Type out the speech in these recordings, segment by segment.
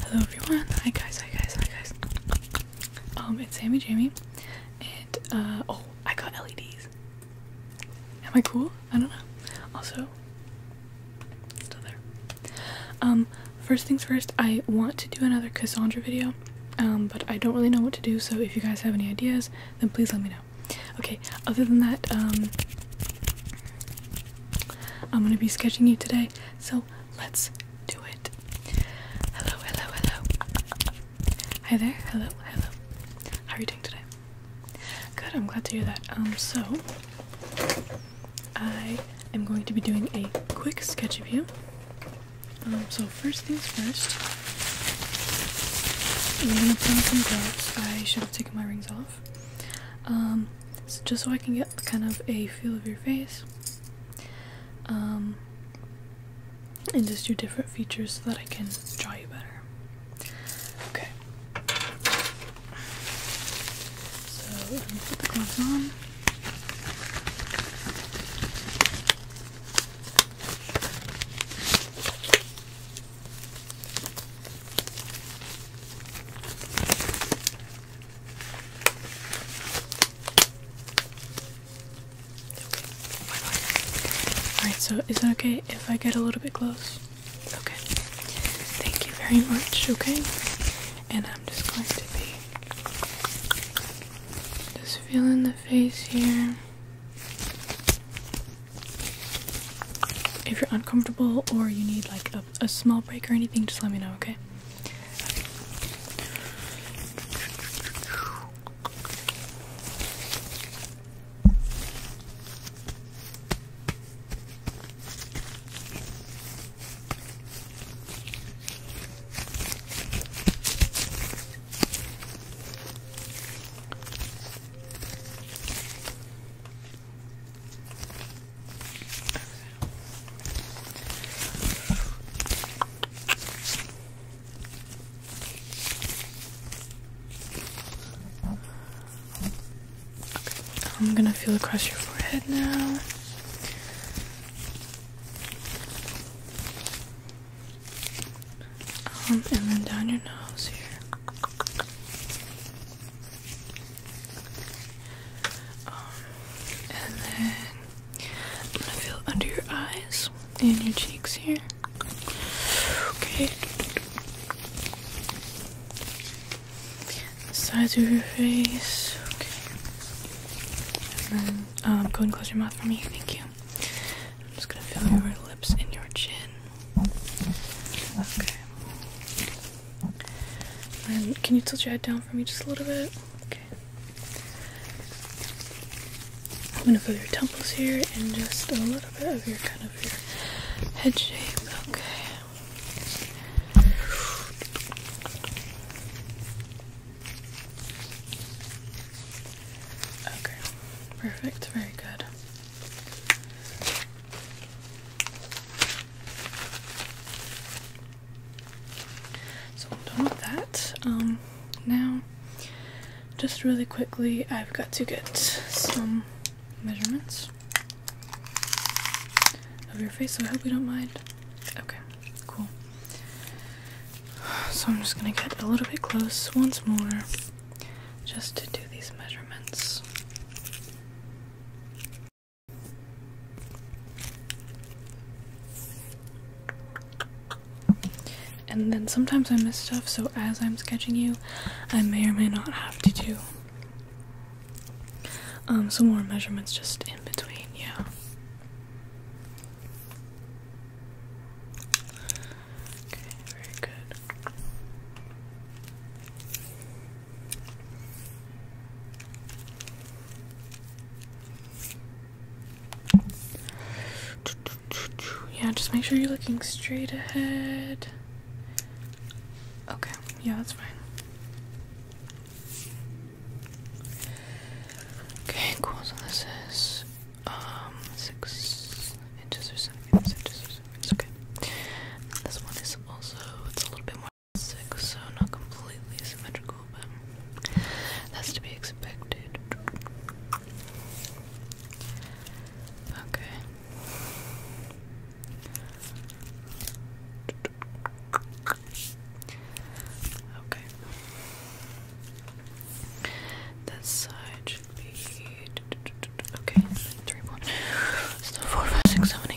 Hello everyone, hi guys, hi guys, hi guys. Um, it's Sammy Jamie, and uh, oh, I got LEDs. Am I cool? I don't know. Also, still there. Um, first things first, I want to do another Cassandra video, um, but I don't really know what to do, so if you guys have any ideas, then please let me know. Okay, other than that, um, I'm gonna be sketching you today, so let's do it. Hello, hello, hello. Hi there. Hello, hello. How are you doing today? Good, I'm glad to hear that. Um, so I am going to be doing a quick sketch of you. Um, so first things first. I'm gonna put on some gloves. I should have taken my rings off. Um, just so I can get kind of a feel of your face. Um, and just do different features so that I can draw you better. Okay. So let me put the on. Alright, so is it okay if I get a little bit close? Okay. Thank you very much, okay? And I'm just going to be just feeling the face here. If you're uncomfortable or you need like a, small break or anything, just let me know, okay. I'm gonna feel across your forehead now. Um, and then down your nose here. Um, and then I'm gonna feel under your eyes and your cheeks here. Okay. The sides of your face. Okay. And then um, go and close your mouth for me. Thank you. I'm just gonna feel your lips and your chin. Okay. Um, can you tilt your head down for me just a little bit? Okay. I'm gonna feel your temples here and just a little bit of your kind of your head shape. Okay. Okay. Perfect. Very good. So I'm done with that. Um, now, just really quickly, I've got to get some measurements of your face, so I hope you don't mind. Okay, cool. So I'm just gonna get a little bit close once more just to do these measurements. And then sometimes I miss stuff, so as I'm sketching you, I may or may not have to do um, some more measurements just in between, yeah. Okay, very good. Yeah, just make sure you're looking straight ahead. Okay, yeah, that's fine. Okay, cool. So this is um six inches or seven inches or seven inches. Okay. This one is also it's a little bit more six, so not completely symmetrical, but that's to be expected. Okay. Okay. This side should be okay. Three,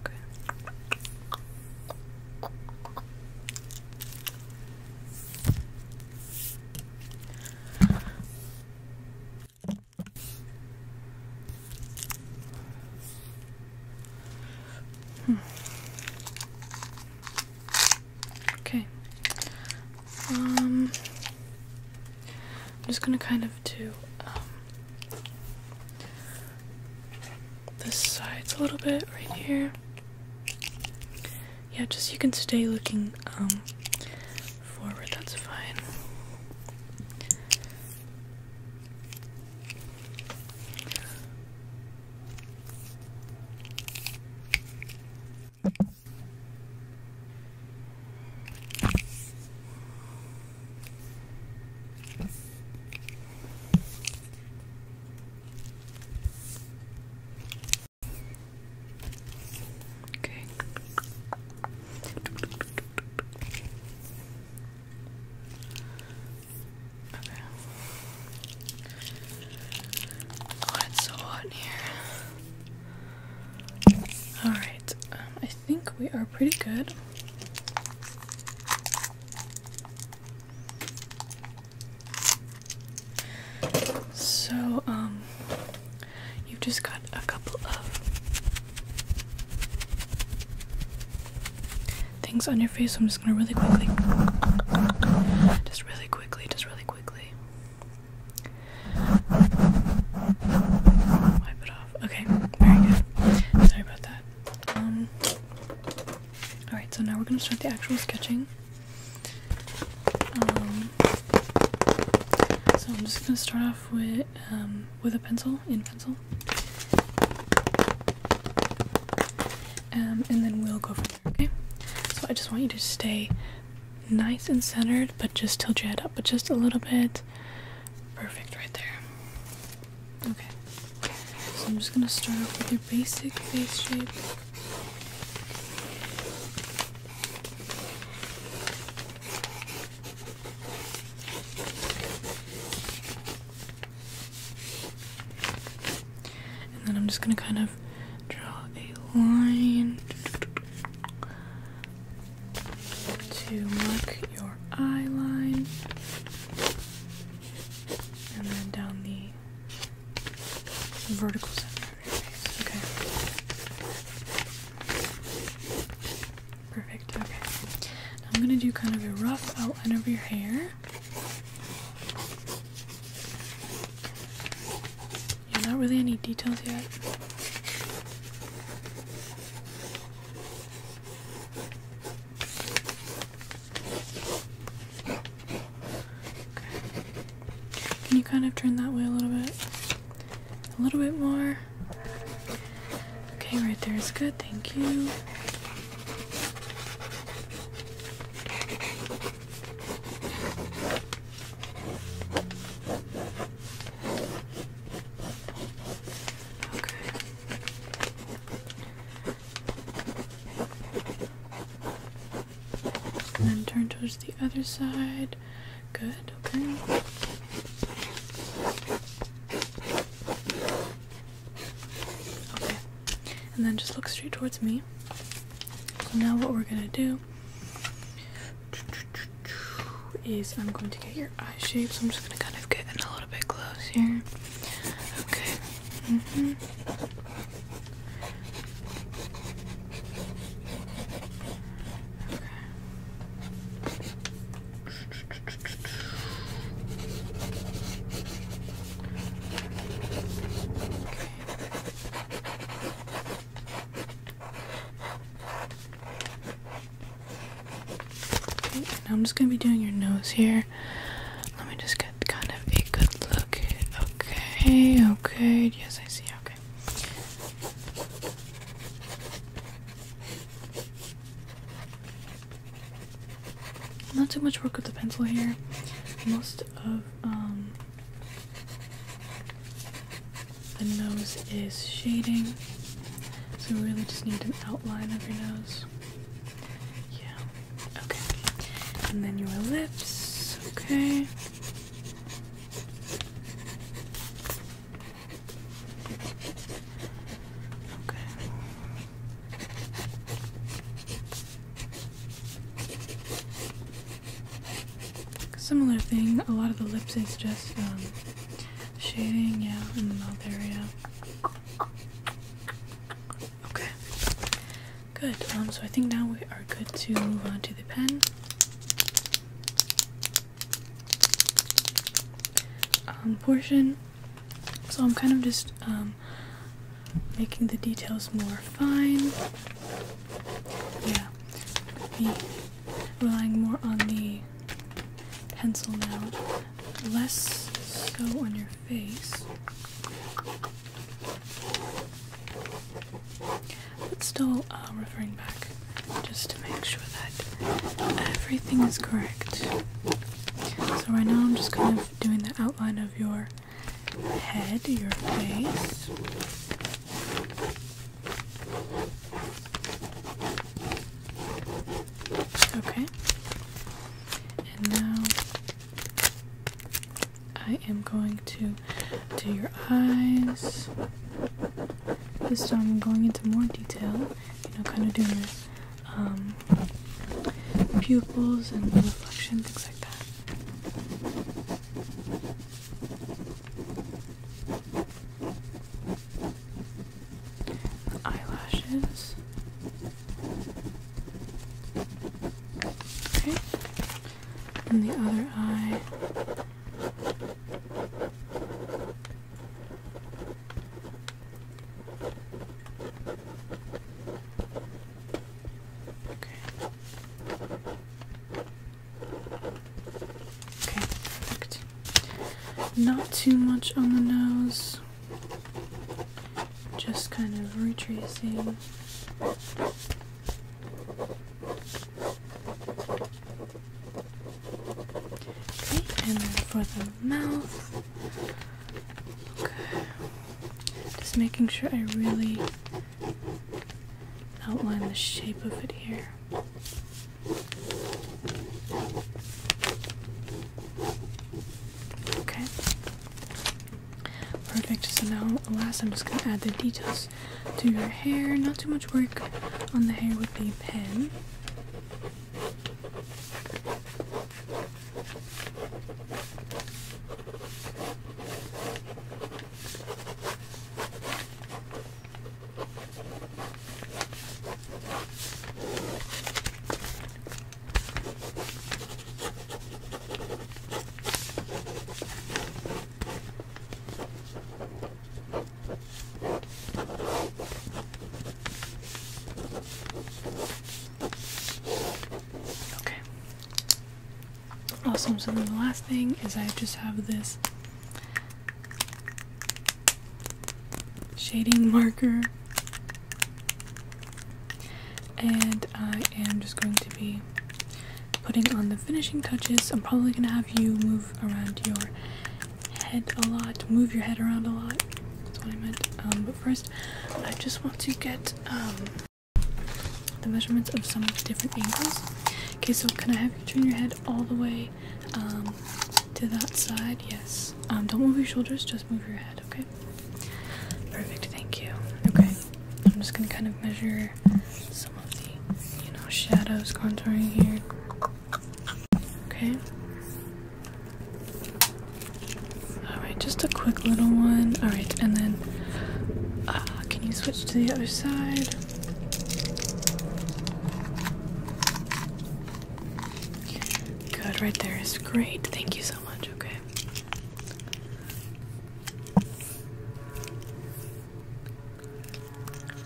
Okay. Okay. Um, I'm just gonna kind of do um, the sides a little bit right here. Yeah, just you can stay looking um, forward, that's fine. Okay. Okay. it's so hot here. All right. Um, I think we are pretty good. So, um, you've just got a couple of things on your face. So I'm just gonna really quickly, just really quickly, just really quickly Okay, Sorry about that. Um, alright, so now we're gonna start the actual sketching. Um, so I'm just gonna start off with um, with a pencil, in pencil. and then we'll go from there, okay? So I just want you to stay nice and centered, but just tilt your head up, but just a little bit perfect. right there. Okay. So I'm just gonna start off with your basic face shape. And then I'm just gonna kind of draw a line to mark your eye line and then down the vertical center of your face. Okay. Perfect. Okay. I'm going to do kind of a rough outline of your hair. not really any details yet. Can you kind of turn that way a little bit? A little bit more. Okay, right there is good. Thank you. And then turn towards the other side. Good, okay. Okay. And then just look straight towards me. So now what we're gonna do is I'm going to get your eye shape, so I'm just going to kind of get in a little bit close here. Okay. Mm-hmm. I'm just gonna be doing your nose here. Let me just get kind of a good look. Okay, okay, yes, I see. Okay. Not too much work with the pencil here. Most of um the nose is shading, so we really just need an outline of your nose. Yeah, okay. And then your lips, okay. Okay. Similar thing, a lot of the lips is just um, shading, yeah, in the mouth area. Okay, good. Um, so I think now we are good to move on to the pen. Um, portion. So I'm kind of just um, making the details more fine. Yeah, relying more on the pencil now, less so on your face. But still uh, referring back just to make sure that everything is correct. So, right now I'm just kind of doing the outline of your head, your face. Okay. And now I am going to do your eyes. This time I'm going into more detail, you know, kind of doing um, pupils and reflection, things like that eyelashes. Okay. And the other eye. Okay. Okay, perfect. Not too much on the nose. Just kind of retracing. Okay, and then for the mouth. Okay. Just making sure I really outline the shape of it here. Okay. Perfect. So now, last, I'm just going to add the details to your hair. Not too much work on the hair with the pen. Okay. Awesome. So then the last thing is I just have this shading marker. And I am just going to be putting on the finishing touches. I'm probably going to have you move around your head a lot, move your head around a lot. That's what I meant. Um, but first, I just want to get um, the measurements of some different angles. Okay, so can I have you turn your head all the way um, to that side. Yes. Um, don't move your shoulders. Just move your head. Okay. Perfect. Thank you. Okay. I'm just gonna kind of measure some of the, you know, shadows contouring here. Okay. Alright, just a quick little one. Alright, and then uh, can you switch to the other side? Good, right there is great. Thank you so much. Okay.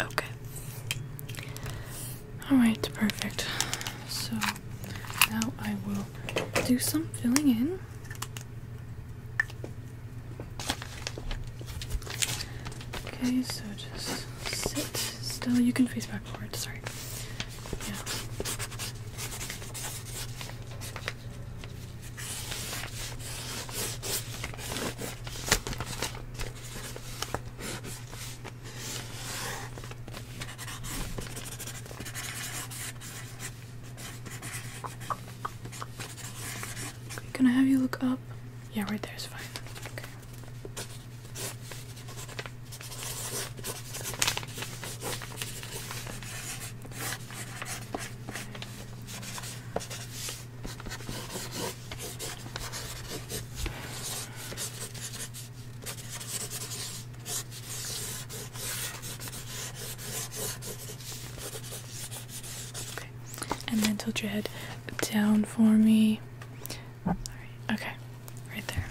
Okay. Alright, perfect. So now I will do some filling in. Okay, so just sit still. You can face backward, sorry. Yeah. can I have you look up? Yeah, right there is fine. Okay. And then tilt your head down for me. All right. Okay. Right there.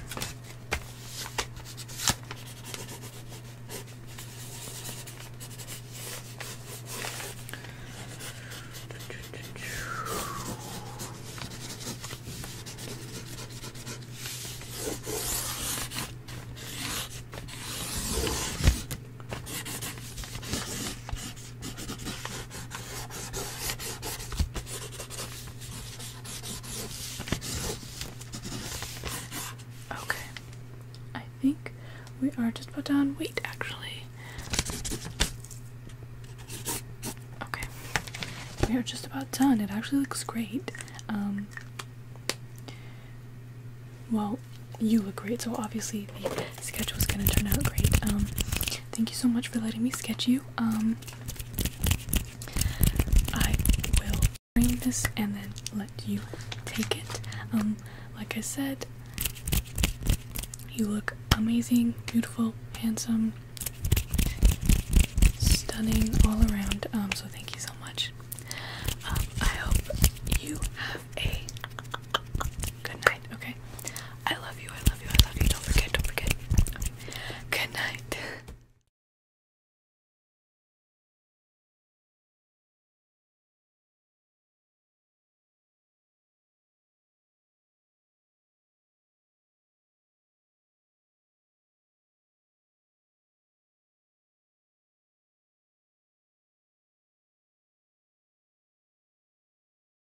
Okay. I think we are just about done. Wait, actually. Okay. We are just about done. It actually looks great. Um well, you look great, so obviously Schedule's gonna turn out great. Um, thank you so much for letting me sketch you. Um, I will bring this and then let you take it. Um, like I said, you look amazing, beautiful, handsome, stunning all around. Um, so thank you so much. Um, I hope you have a Good night, okay? I love you, I love you, I love you. Don't forget, don't forget. Good night.